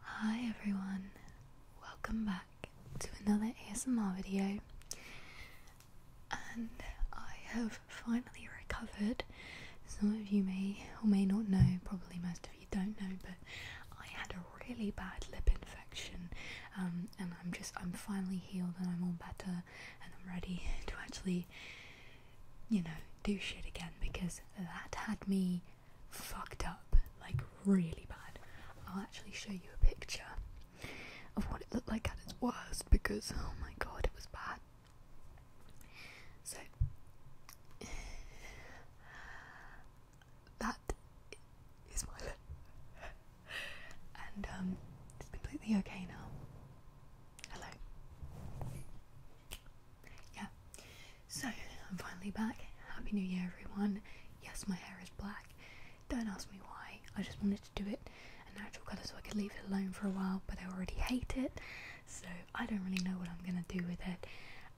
Hi everyone, welcome back to another ASMR video. And I have finally recovered. Some of you may or may not know, probably most of you don't know, but I had a really bad lip infection. Um, and I'm just, I'm finally healed and I'm all better and I'm ready to actually, you know, do shit again because that had me fucked up, like really bad. I'll actually show you a picture of what it looked like at its worst because oh my god, it was bad. So that is my and um, it's completely okay now. Hello yeah. So I'm finally back. Happy New Year, everyone. Yes, my hair is black. Don't ask me why. I just wanted to do it a natural colour so I could leave it alone for a while, but I already hate it, so I don't really know what I'm gonna do with it.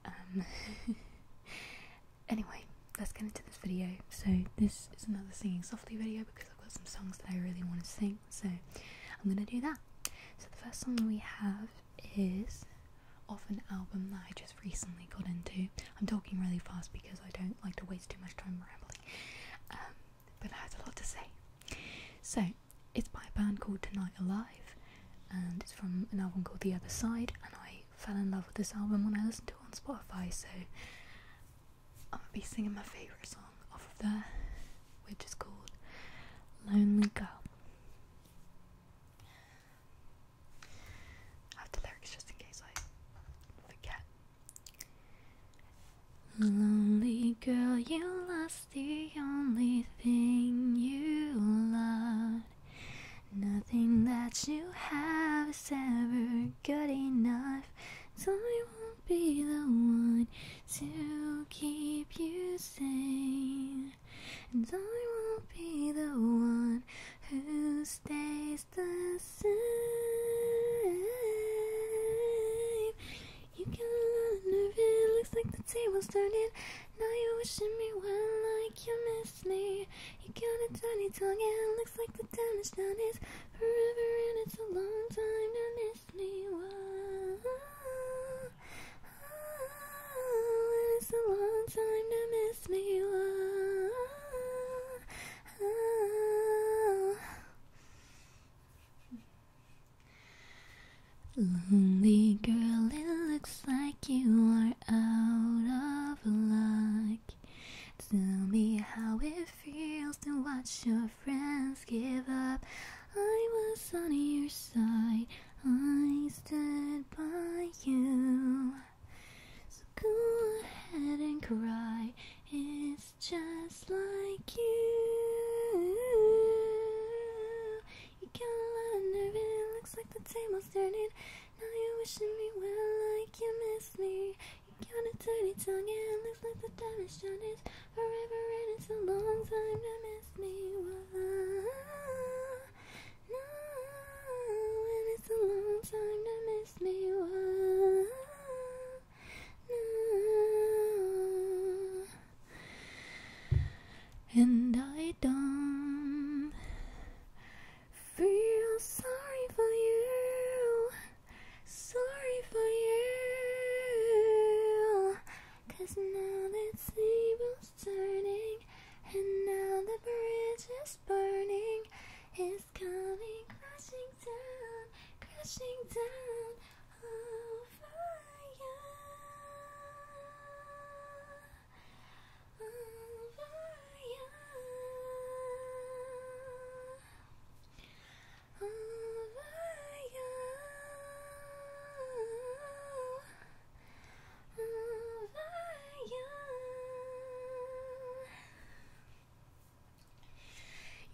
Um, anyway, let's get into this video. So this is another singing softly video because I've got some songs that I really want to sing, so I'm gonna do that. So the first song we have is off an album that I just recently got into. I'm talking really fast because I don't like to waste too much time rambling, um, but I have a lot to say. So, it's by a band called Tonight Alive, and it's from an album called The Other Side, and I fell in love with this album when I listened to it on Spotify, so I'm gonna be singing my favourite song off of there, which is called Lonely Girl have the lyrics just in case I forget. Lonely girl, you lost the only thing you loved. Nothing that you have is ever good enough, so I won't be the one to keep you sane. And I will be the one who stays the same. You can learn if it looks like the table's turning. Now you're wishing me well, like you miss me. You got a tiny tongue, and it looks like the damage done is forever, and it's a long time to miss with me oh, well. It's a long time to miss me well. Lonely girl, it looks like you are out of luck. Tell me how it feels to watch your friends give up. I was on your side, I stood by you. So go ahead and cry, it's just like you. You got a lot of nerve, and it looks like the table's turning. Now you're wishing me well, like you miss me. You got a dirty tongue, and it looks like the damage done is forever, and it's a long time to miss me. No, and it's a long time to miss me. No, and I don't feel sorry for you. Sorry for you. Cause now that sable's turning, and now the bridge is burning, it's coming crashing down, crashing down on fire. On fire.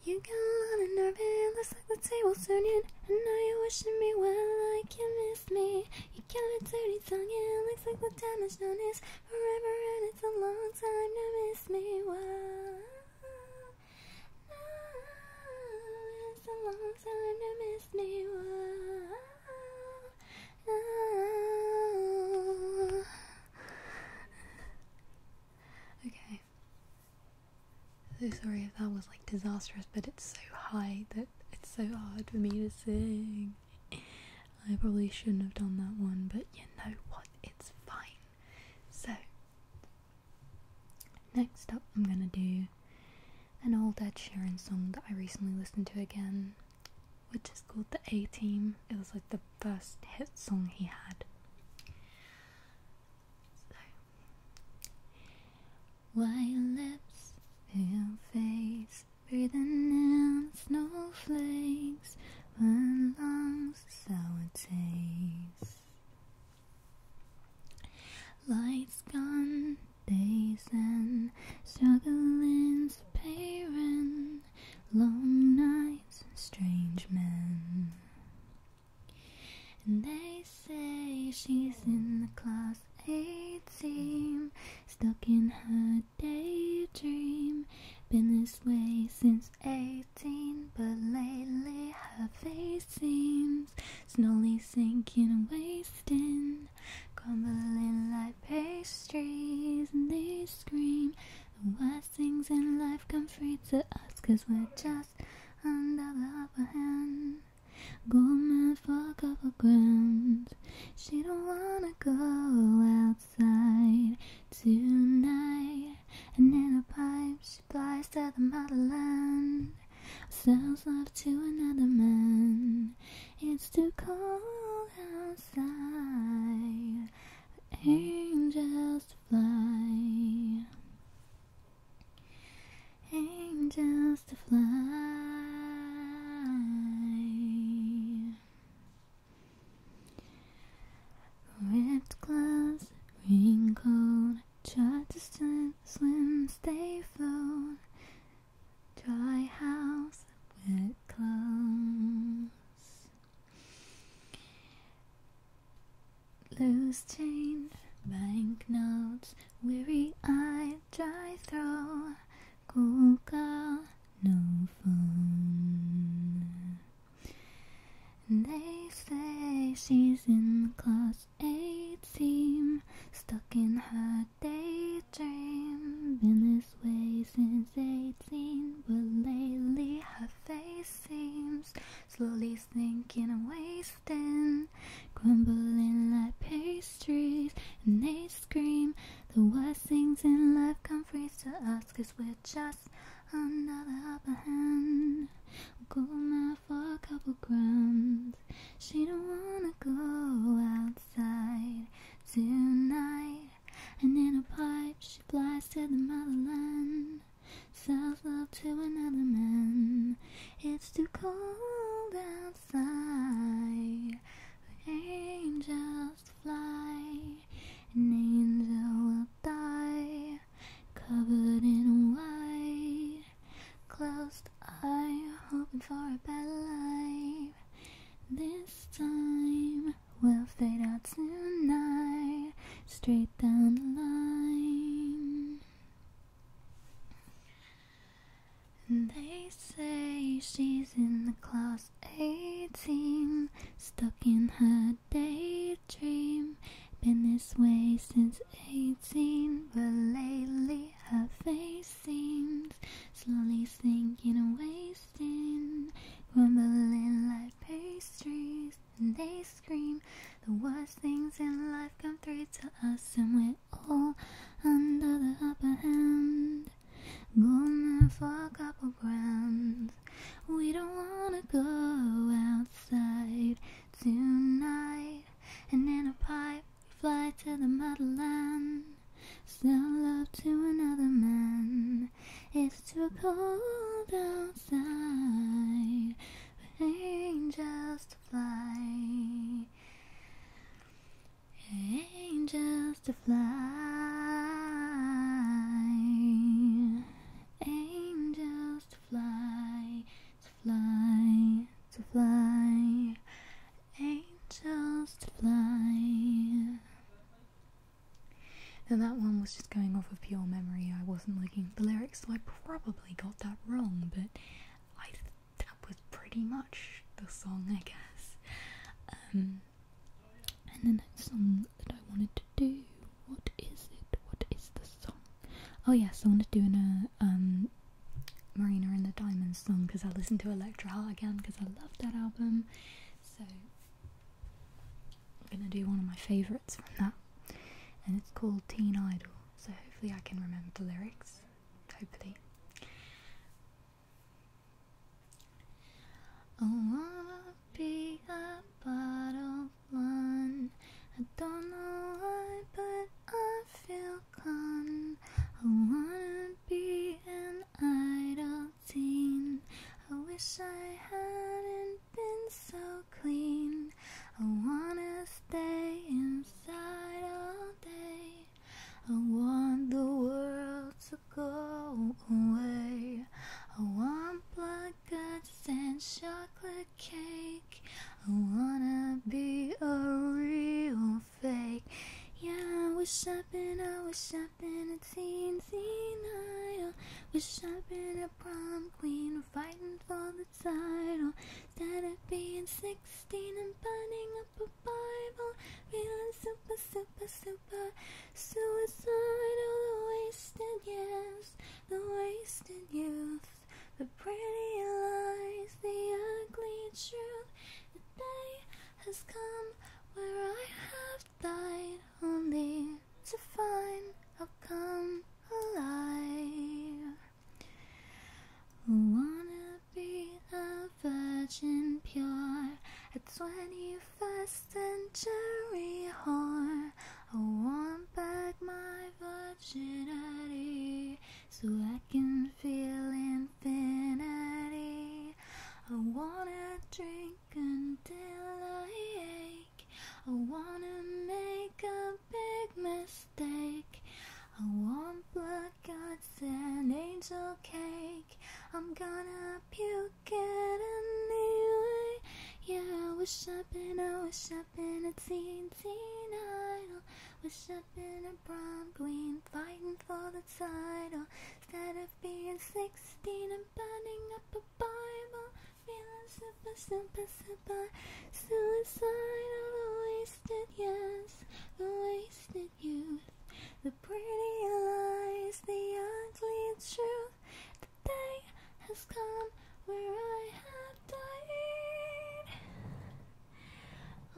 You got on and nervous, looks like the table's turning. And now you're wishing me well, like you miss me. You got a dirty tongue, it looks like the time has done is forever, and it's a long time to miss me. Well. Okay. So sorry if that was like disastrous, but it's so high that it's so hard for me to sing. I probably shouldn't have done that one, but you know what? It's fine. So, Next up, I'm gonna do an old Ed Sheeran song that I recently listened to again, which is called The A Team. It was like the first hit song he had. So. lips, pale face, breathing in snowflakes, one long sour taste. Lights gone, days and struggling's parent, long nights, strange men. And they say she's in the class 18, stuck in her daydream, been this way since. 18, but lately her face seems slowly sinking, wasting, crumbling like pastries. And they scream the worst things in life come free to us, cause we're just under the upper hand. Goldman for a couple grand. She don't wanna go outside tonight. And in a pipe she flies to the motherland Sells love to another man It's too cold outside For angels to fly Angels to fly Ripped clothes, wrinkled, try to swim, swim, stay float. Dry house, wet clothes. Loose change, banknotes, weary eye, dry throat. Cool girl, no fun. They say she's in class 8 team, stuck in her daydream. Been this way since 18, but lately her face seems slowly sinking and wasting, grumbling like pastries. And they scream, the worst things in life come free to us, cause just another upper hand. go now for a couple grams. She don't wanna go outside tonight. And in a pipe, she flies to the motherland. Sells love to another man. It's too cold outside. angel fly. An angel will die, covered in white. Closed eye, hoping for a better life. This time we will fade out tonight, straight down the line. And they say she's in the closet. 18, stuck in her daydream. Been this way since 18, but lately her face seems slowly sinking and wasting, crumbling like pastries. And they scream, the worst things in life come through to us, and we're all under the upper hand. Gonna for a couple rounds. We don't wanna go outside tonight. And in a pipe, we fly to the motherland. Still love to another man. It's too cold outside for angels fly. Angels. To fly, angels to fly, to fly, to fly, angels to fly. Now that one was just going off of pure memory. I wasn't looking at the lyrics, so I probably got that wrong. But that was pretty much the song, I guess. Um, and the next song that I wanted to do, what is it? What is the song? Oh yes, I wanted to do an, uh, um, Marina and the Diamonds song because I listened to Electra Heart again because I love that album. So I'm gonna do one of my favourites from that, and it's called Teen Idol. So hopefully I can remember the lyrics. Hopefully. I wanna be a bottle blonde. I don't know why, but I feel con. I wanna be an idle teen. I wish I hadn't been so clean. I wanna stay inside all day. I want the world to go away. I want black guts and chocolate cake. I wanna be a real fake. Yeah, I wish I'd been, I wish I'd been a teen, teen idol. Wish I'd been a prom queen, fighting for the title. Instead of being 16 and burning up a Bible, feeling super, super, super super suicidal, the wasted years, the wasted youth, the pretty lies, the ugly truth. The day has come where I have died only to find I'll come alive be a virgin pure, a 21st century whore. I want back my virginity so I can feel infinity. I wanna drink until I ache. I wanna make a big mistake. I want blood got God's an angel cake. I'm gonna puke it anyway. Yeah, I wish i I wish I'd been a teen, teen idol. Wish I'd been a prom queen, fighting for the title. Instead of being 16 and burning up a Bible, feeling super, super, super suicidal, wasted years, wasted. Youth, The pretty lies, the ugly truth. The day has come where I have died,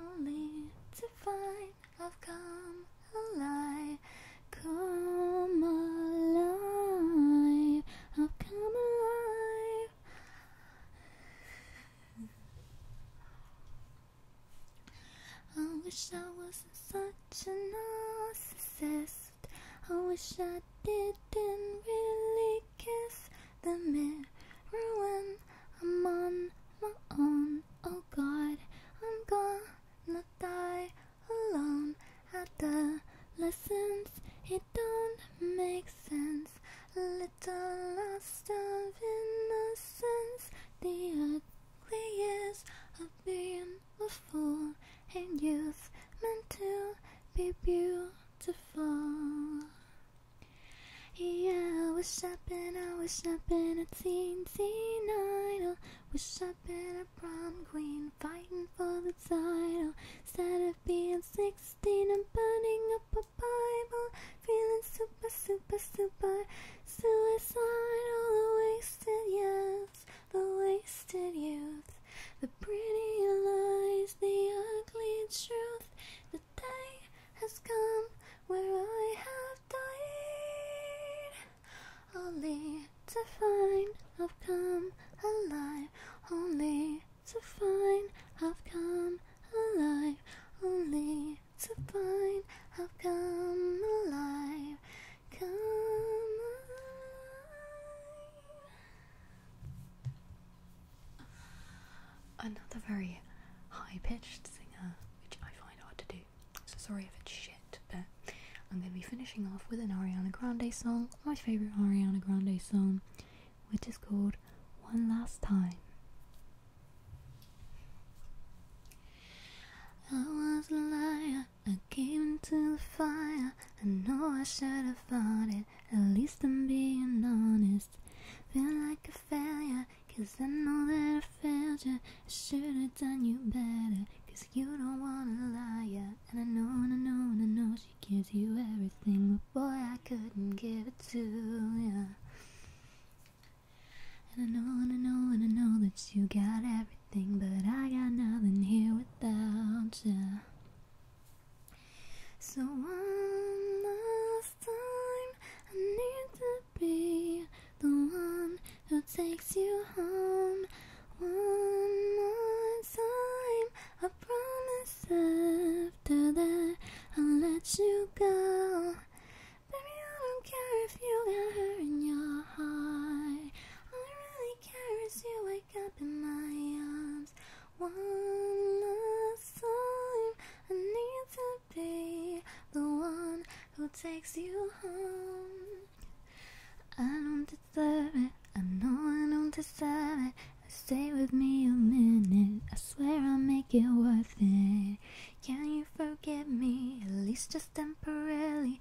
only to find I've come alive. Come alive, I've come alive. I wish I wasn't such a narcissist. I wish I didn't really kiss the mirror when I'm on my own. Oh God, I'm gonna die alone. Adolescence, it don't make sense. Little lost of innocence, the ugliest of being a fool, and youth meant to be beautiful. Yeah, I was shopping, I was shopping a teen, teen idol. Was shopping a prom queen, fighting for the title. Instead of being 16, and am burning up a Bible, feeling super, super, super suicidal. The wasted years, the wasted youth, the pretty lies, the ugly truth. The day has come where I have died, only to find I've come alive, only to find I've come alive, only to find I've come alive, come alive. Another very high pitched singer, which I find hard to do. So sorry if it's shit, but I'm going to be finishing off with an Ariana Grande song, my favourite Ariana Grande song, which is called One Last Time. I was a liar, I gave into the fire. I know I should have fought it, at least I'm being honest. Feel like a failure, cause I know that I failed you. I should have done you better, cause you don't wanna lie. And I know, I know, I know she gives you everything, but boy, I couldn't give it to you. And I know, and I know, and I know that you got everything, but I got nothing here without you. So one last time, I need to be the one who takes you home. One more time, I promise after that I'll let you go. Baby, I don't care if you got her in your heart. All I really care is you wake up in my arms. One last time, I need to be the one who takes you home. I don't deserve it. I know I don't deserve it. Stay with me a minute, I swear I'll make it worth it. Can you forgive me, at least just temporarily?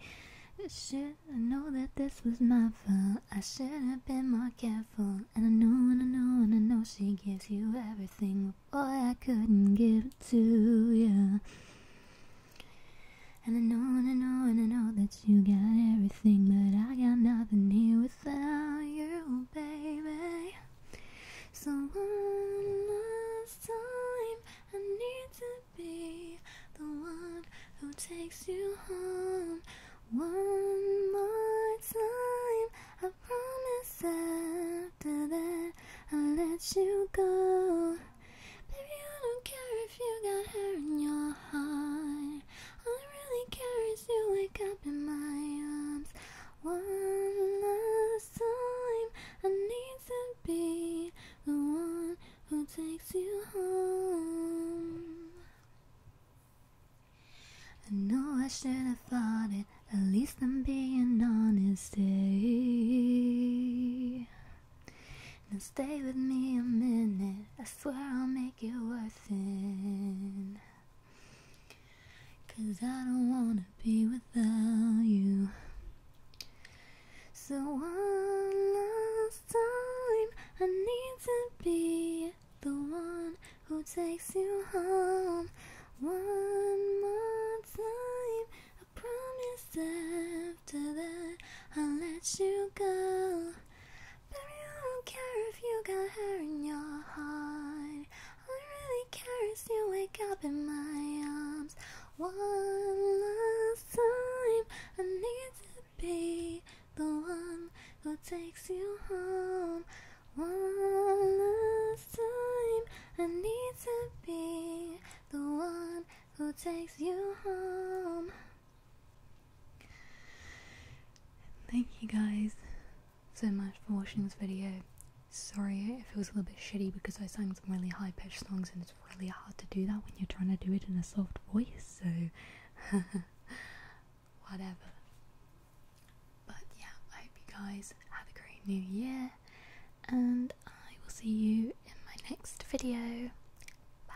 I Should have known that this was my fault? I should have been more careful. And I know, and I know, and I know she gives you everything, but boy, I couldn't give it to you. And I know, and I know, and I know that you got everything, but I got nothing here without you, baby. So one last time, I need to be the one who takes you home. One more time, I promise after that I'll let you go. Baby, I don't care if you got hair in your heart. I really care you wake up in my arms. One last time, I need to be the one who takes you home. I know I should have fought it, at least I'm being honest. Day. Eh? Now stay with me a minute, I swear I'll make it worth it. Cause I don't wanna be without you. So one last time, I need to be the one who takes you home. One more time, I promise after that I'll let you go. But I don't care if you got hair in your heart. I really care is you wake up in my arms. One last time, I need to be the one who takes you home. One last time, I need to be the one who takes you home. Thank you guys so much for watching this video. Sorry if it was a little bit shitty because I sang some really high pitched songs and it's really hard to do that when you're trying to do it in a soft voice, so whatever. But yeah, I hope you guys have a great new year and I will see you in my next video. Bye.